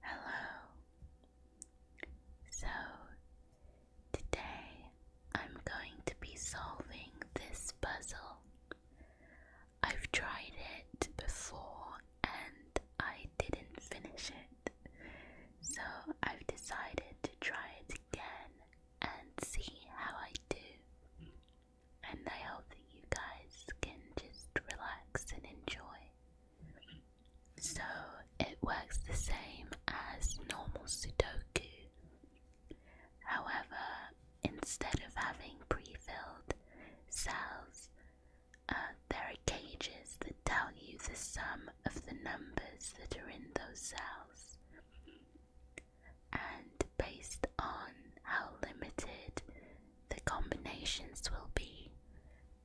Hello. So, today I'm going to be solving this puzzle. I've tried it before and I didn't finish it. So, I've decided to try it again and see how I do. And I hope that you guys can just relax and enjoy. So it works the same as normal Sudoku. However, instead of having pre filled cells, uh, there are cages that tell you the sum of the numbers that are in those cells. And based on how limited the combinations will be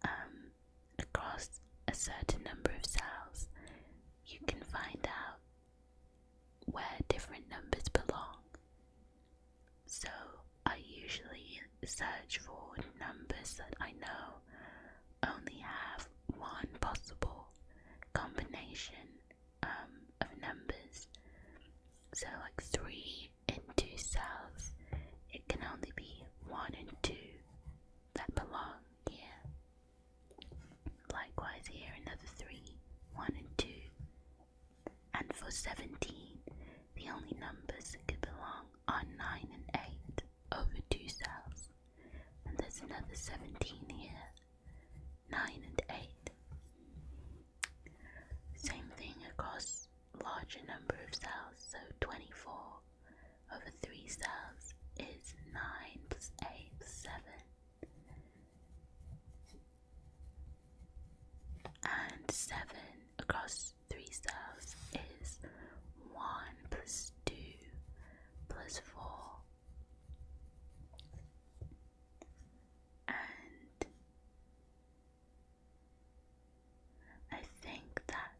um, across a certain number of cells. You can find out where different numbers belong. So I usually search for numbers that I know only have one possible combination um, of numbers. So, like 3 and two cells, it can only be one and two that belong here. Likewise, here another three, one and two. And for 17, the only numbers that could belong are 9 and 8 over two cells. And there's another 17 here, 9 and 8. Same thing across larger number of cells, so 24 over 3 cells is 9 plus 8 plus 7. And 7 across 3 cells is 1 plus 2 plus 4. And I think that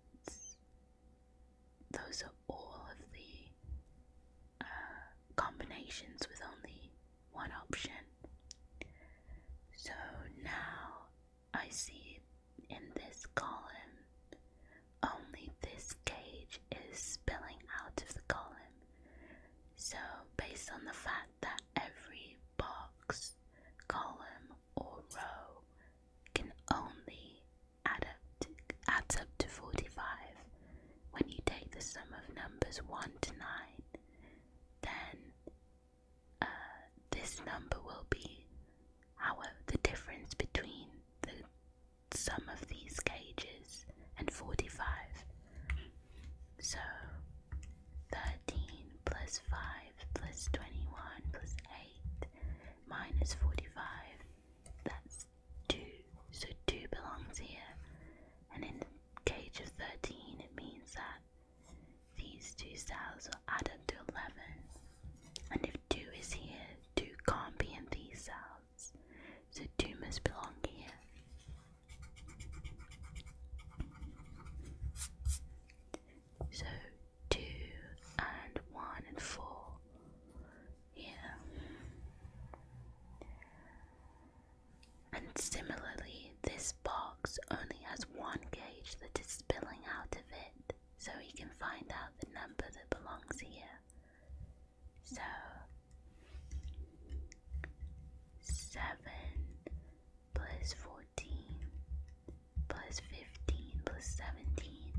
those are all of the uh, combinations with only one option. So now I see in this column only this cage is spilling out of the column. So, based on the fact that every box column, or row can only add up, to, adds up to 45 when you take the sum of numbers 1 to 9 then uh, this number will be however the difference between the sum of these cages and 45 so 13 plus 5 plus 21 plus 8 minus 45. That's 2. So 2 belongs here. And in the cage of 13, it means that these two cells are added to 11. And if 2 is here, 2 can't be in these cells. So 2 must belong here. So two and one and four here. And similarly, this box only has one gauge that is spilling out of it, so we can find out the number that belongs here. So seven plus 14 plus 15 plus 17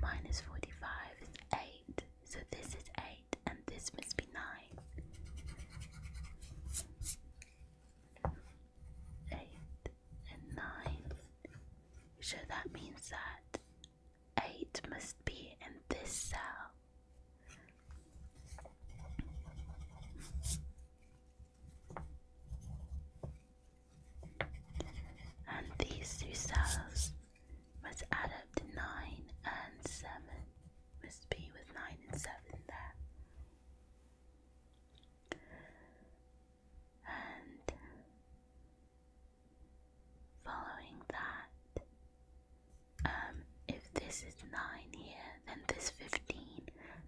minus 45 is 8. So this is 8 and this must be 9. 8 and 9. So that means that 8 must be in this cell and these two cells must add up to 9 and 7. Must be with 9 and 7 there. And following that, um, if this is 9 here, then this 15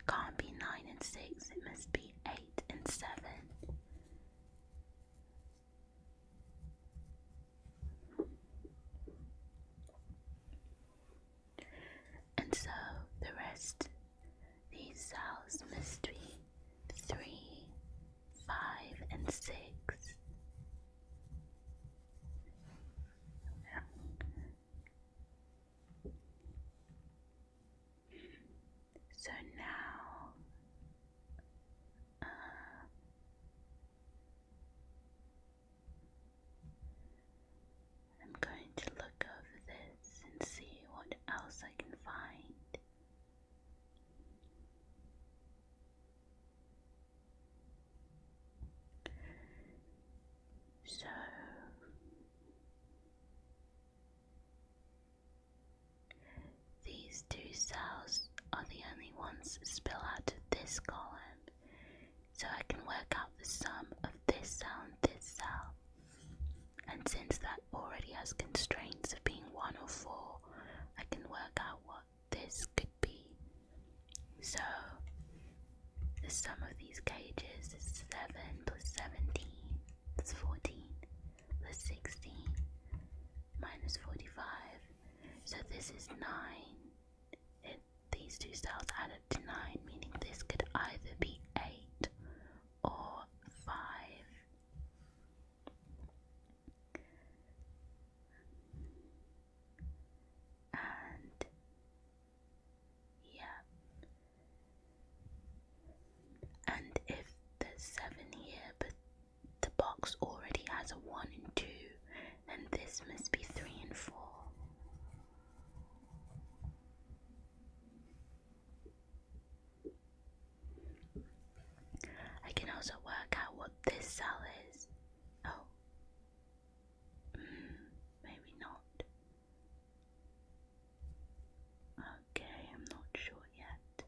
can't be 9 and 6, it must be 8 and seven. And so the rest, these cells must be three, five, and six. So now uh, I'm going to look over this and see what else I can find. So these two cells are the only ones that spill out of this column, so I can work out the sum of this cell and this cell. And since that already has constraints of being 1 or 4, I can work out what this could be. So, the sum of these cages is 7 plus 17. That's 14 plus 16 minus 45. So this is 9. It, these two cells add up to 9, meaning this could either be 8 or 5. And yeah. And if there's seven here, but the box already has a one and two, and this must be three and four. I can also work out what this cell is. Oh. Hmm, maybe not. Okay, I'm not sure yet.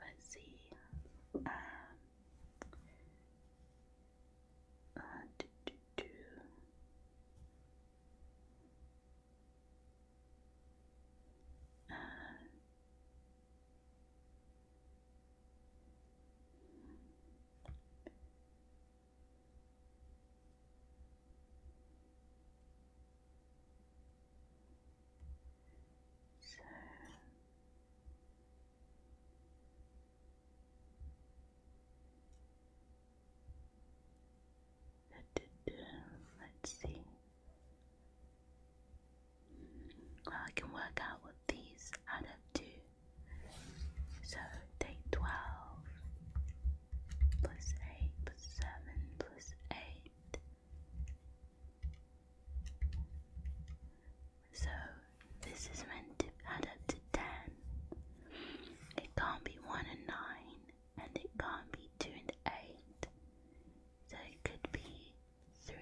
Let's see. Um, uh, so let's see. Well, I can work out what these add up to. So take twelve plus eight plus 7 plus 8. So this is meant to add up to 10. It can't be 1 and 9, and it can't be 2 and 8. So it could be 3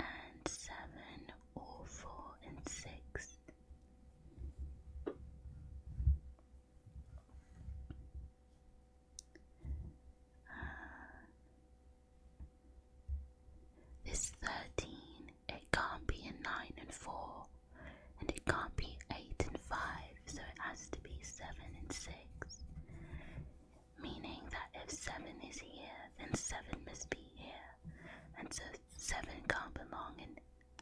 and 7, or 4 and 6. Uh, this 13, it can't be a 9 and 4, and it can't be 8 and 5, so it has to be 7 and 6. Meaning that if 7 is here, then 7 must be here, and so 7 can't belong in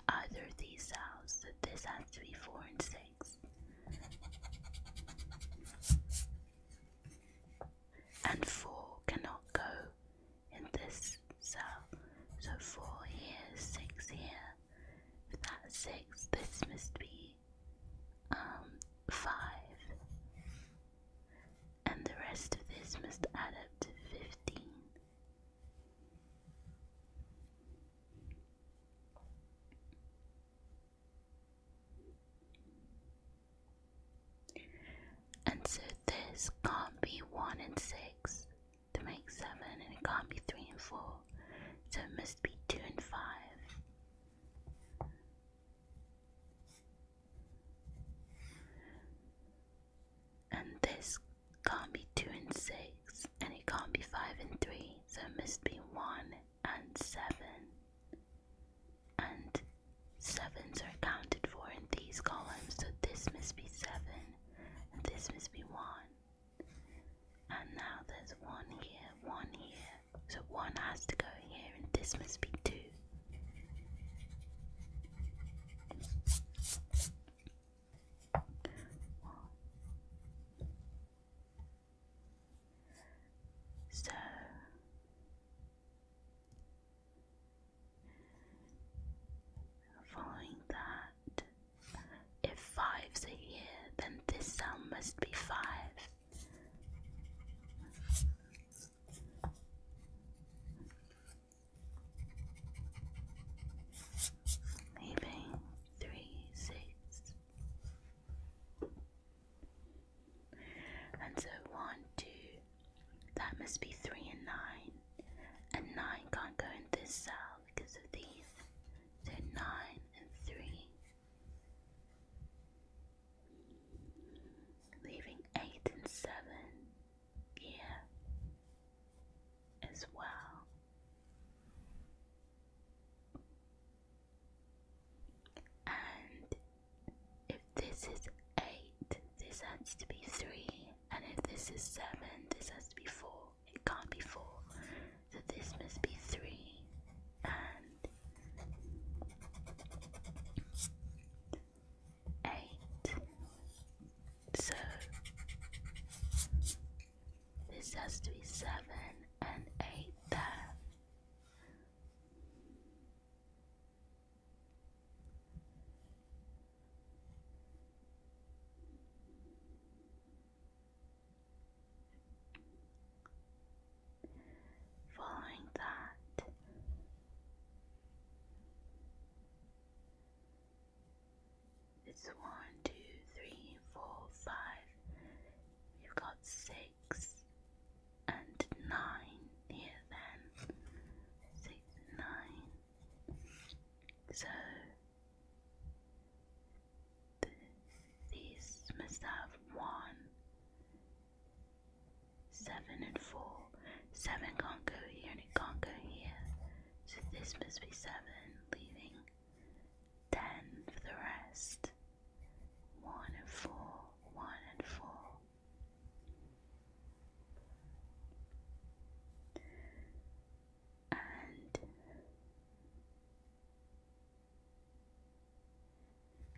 either of these sounds. This has to be four and six. And four cannot go in this cell. So four here, six here. With that six, this must be um five. And the rest of this must add up to fifteen. And so this can't be 1 and 6 to make 7, and it can't be 3 and 4, so it must be 2 and 5. And this can't be 2 and 6, and it can't be 5 and 3, so it must be 1 and 7. And 7s are accounted for in these columns, so this must be 7, and this must be 1. And now there's 1 here, 1 here, so 1 has to go here, and this must be 2. So following that, if five's are here, then this sound must be five. Leaving three, six. And so one, two, that must be three and nine. And nine can't go in this cell because of these. So nine and three. Leaving eight and seven here as well. And if this is 8, this has to be 3. And if this is 7, this has to be 4. It can't be 4. So this must be 3. And 8. So this has to be 7 and 8 there. Following that, it's one, two, three, four, five. We've got six and nine here then. Six nine. So the, must have one. Seven and four. Seven can't go here and it can't go here. So this must be seven leaving ten for the rest, one and four, one and four. And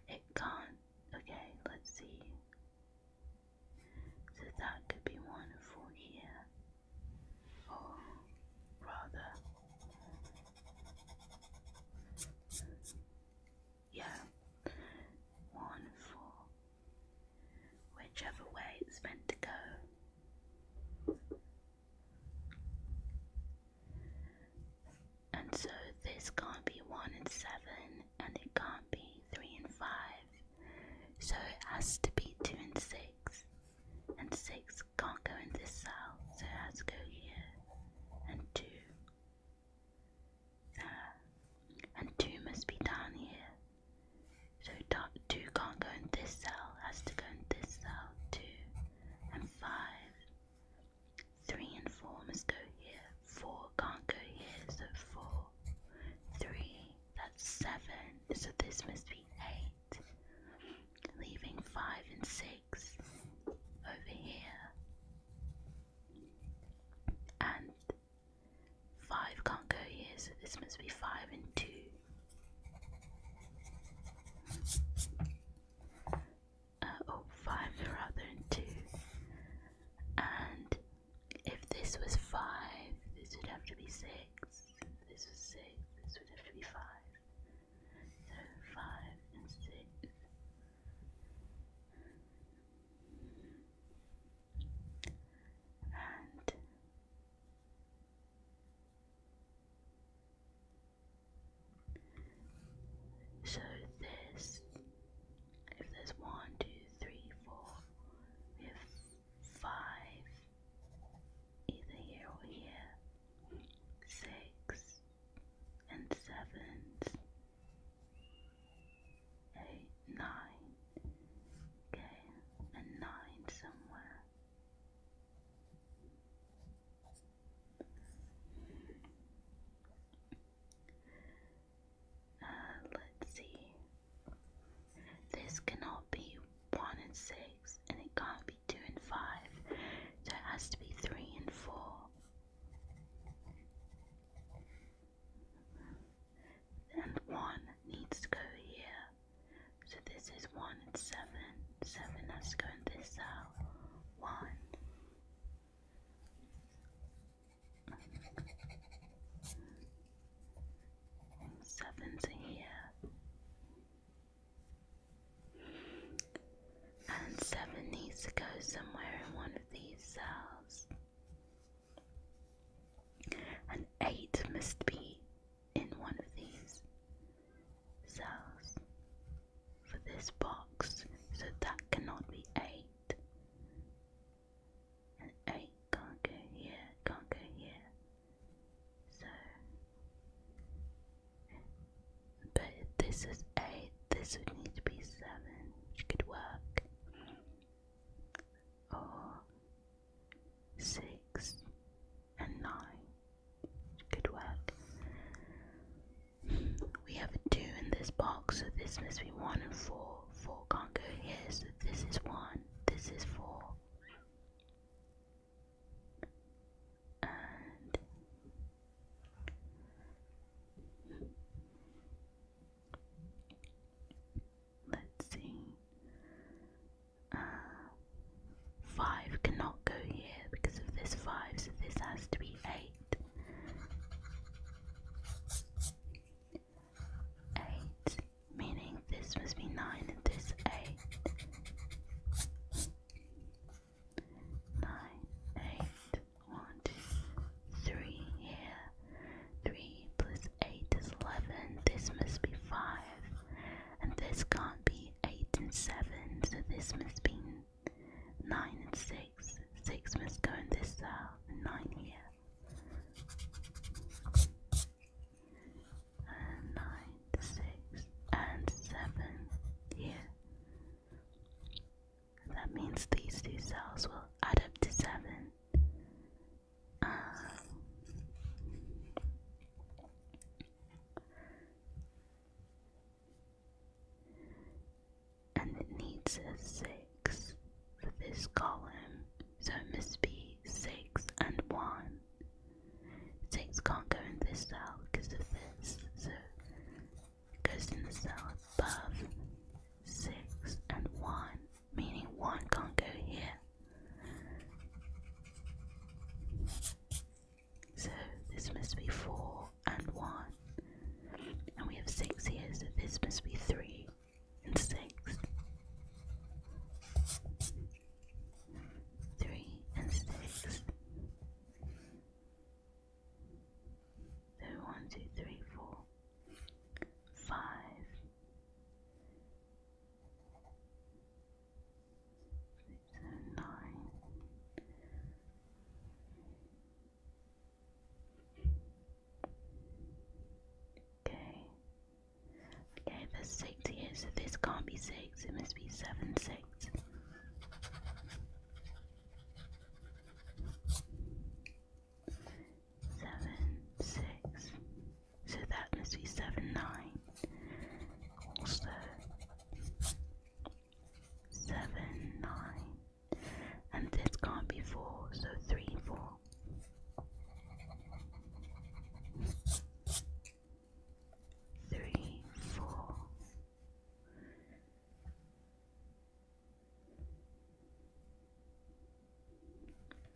it can't. Okay, let's see. So that could be one and four here or rather, yeah, one four, whichever way it's meant to go. And so this can't be 1 and 7, and it can't be 3 and 5, so it has to be 2 and 6, and 6 can't go in this cell, so let's go here. And two. There. Uh, and two must be down here. So two can't go in this cell, has to go in this cell. Two. And five. Three and four must go here. Four can't go here, so four. Three. That's seven. So this must be eight leaving five and six over here. And five can't go here, so this must be five and two. Uh, oh, five rather than two. And if this was five, this would have to be six. This was six. This would have to be five. So five and six. And so this, if there's one, two, three, four, we have five either here or here, six and sevens, eight, nine, okay, and nine somewhere. Uh, let's see. This cannot be 1 and 6, and it can't be 2 and 5, so it has to be 3 and 4. And 1 needs to go here. So this is 1 and 7. 7 has to go in this cell. 1. Sevens are here. And seven needs to go somewhere in one of these cells. And eight must be in one of these cells for this box, so that cannot be eight. And eight can't go here, can't go here, so, but this is 8, this would need to be 7, which could work. Or 6 and 9, which could work. We have a 2 in this box, so this must be 1 and 4. 4 can't go here, so this is 1, this is 4 let's see. Uh, five cannot go here because of this five, so this has to be eight. Eight, meaning this must be nine and this eight nine, eight, one, two, three here. Three plus eight is eleven. This must be five, and this can't be eight and seven, so this must be nine and six. Six must go in this cell, nine here and nine, six, and seven here. That means these two cells will add up to seven. Um, and it needs a six for this column, so it must be six and one. Six can't go in this cell because of this, so it goes in the cell above. Six and one, meaning one can't go here. So this must be four and one. And we have six here, so this must be three and six three, and six. So one, two, three, four, five, six, seven, nine. Okay. Okay, there's six here, so this can't be six, it must be seven, six. Seven, six. So that must be seven, nine. Also, seven, nine. And this can't be four, so three, four three, four.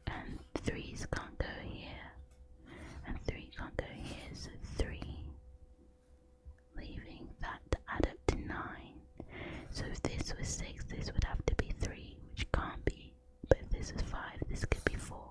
And threes can't go here, and three can't go here, so three, leaving that to add up to nine. So if this was six, this would have to be three, which can't be, but if this is five, this could be four.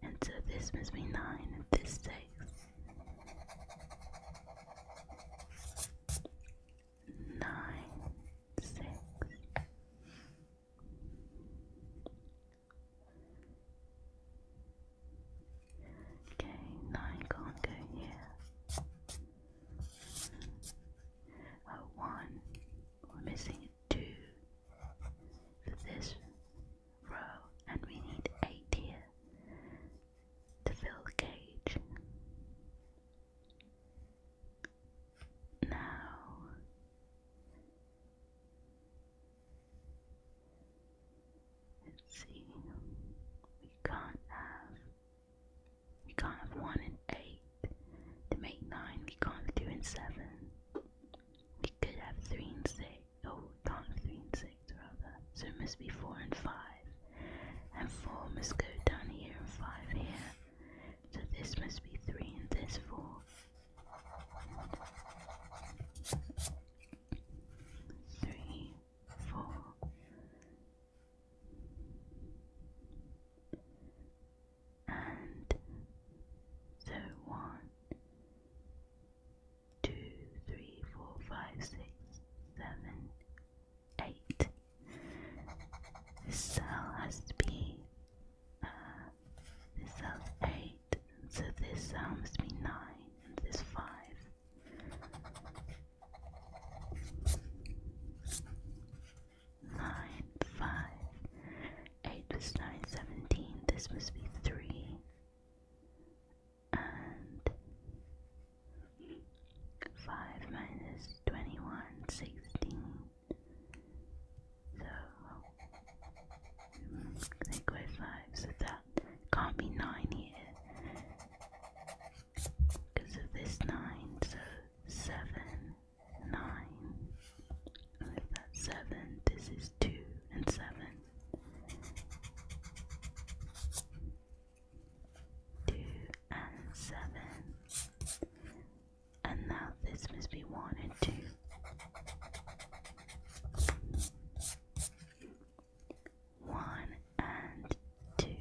And so this must be 9 and this 6. Nine, six. Okay, nine can't go here. Oh, one. We're missing two for this row and we need 8 here to fill the cage. Now let's see we can't have we can't have one and eight to make nine, we can't have two and seven. We could have three and six oh, not three and six rather. So it must be four and five. And four must go down here and five here. So this must be three and this four. Three, four. And so one, two, three, four, five, six, seven, eight. This cell has to be uh, this cell's eight, and so this cell must be nine, and this five. Nine, five, eight was nine, seventeen. This must be three and 5 minus 21, 16. So, they 5, so that can't be 9 here because of this 9, so 7, 9. if that's 7, this is 2 and 7 two and seven. And now this must be one and two. One and two.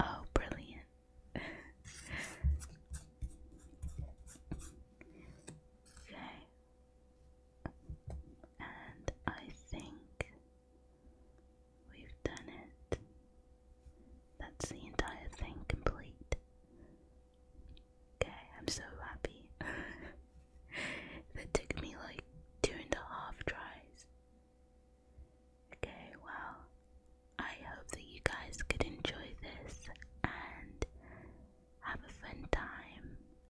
Oh, brilliant. okay, and I think we've done it. That's the entire thing complete. Okay, I'm so happy. that took me like two and a half tries. Okay, well, I hope that you guys could enjoy this and have a fun time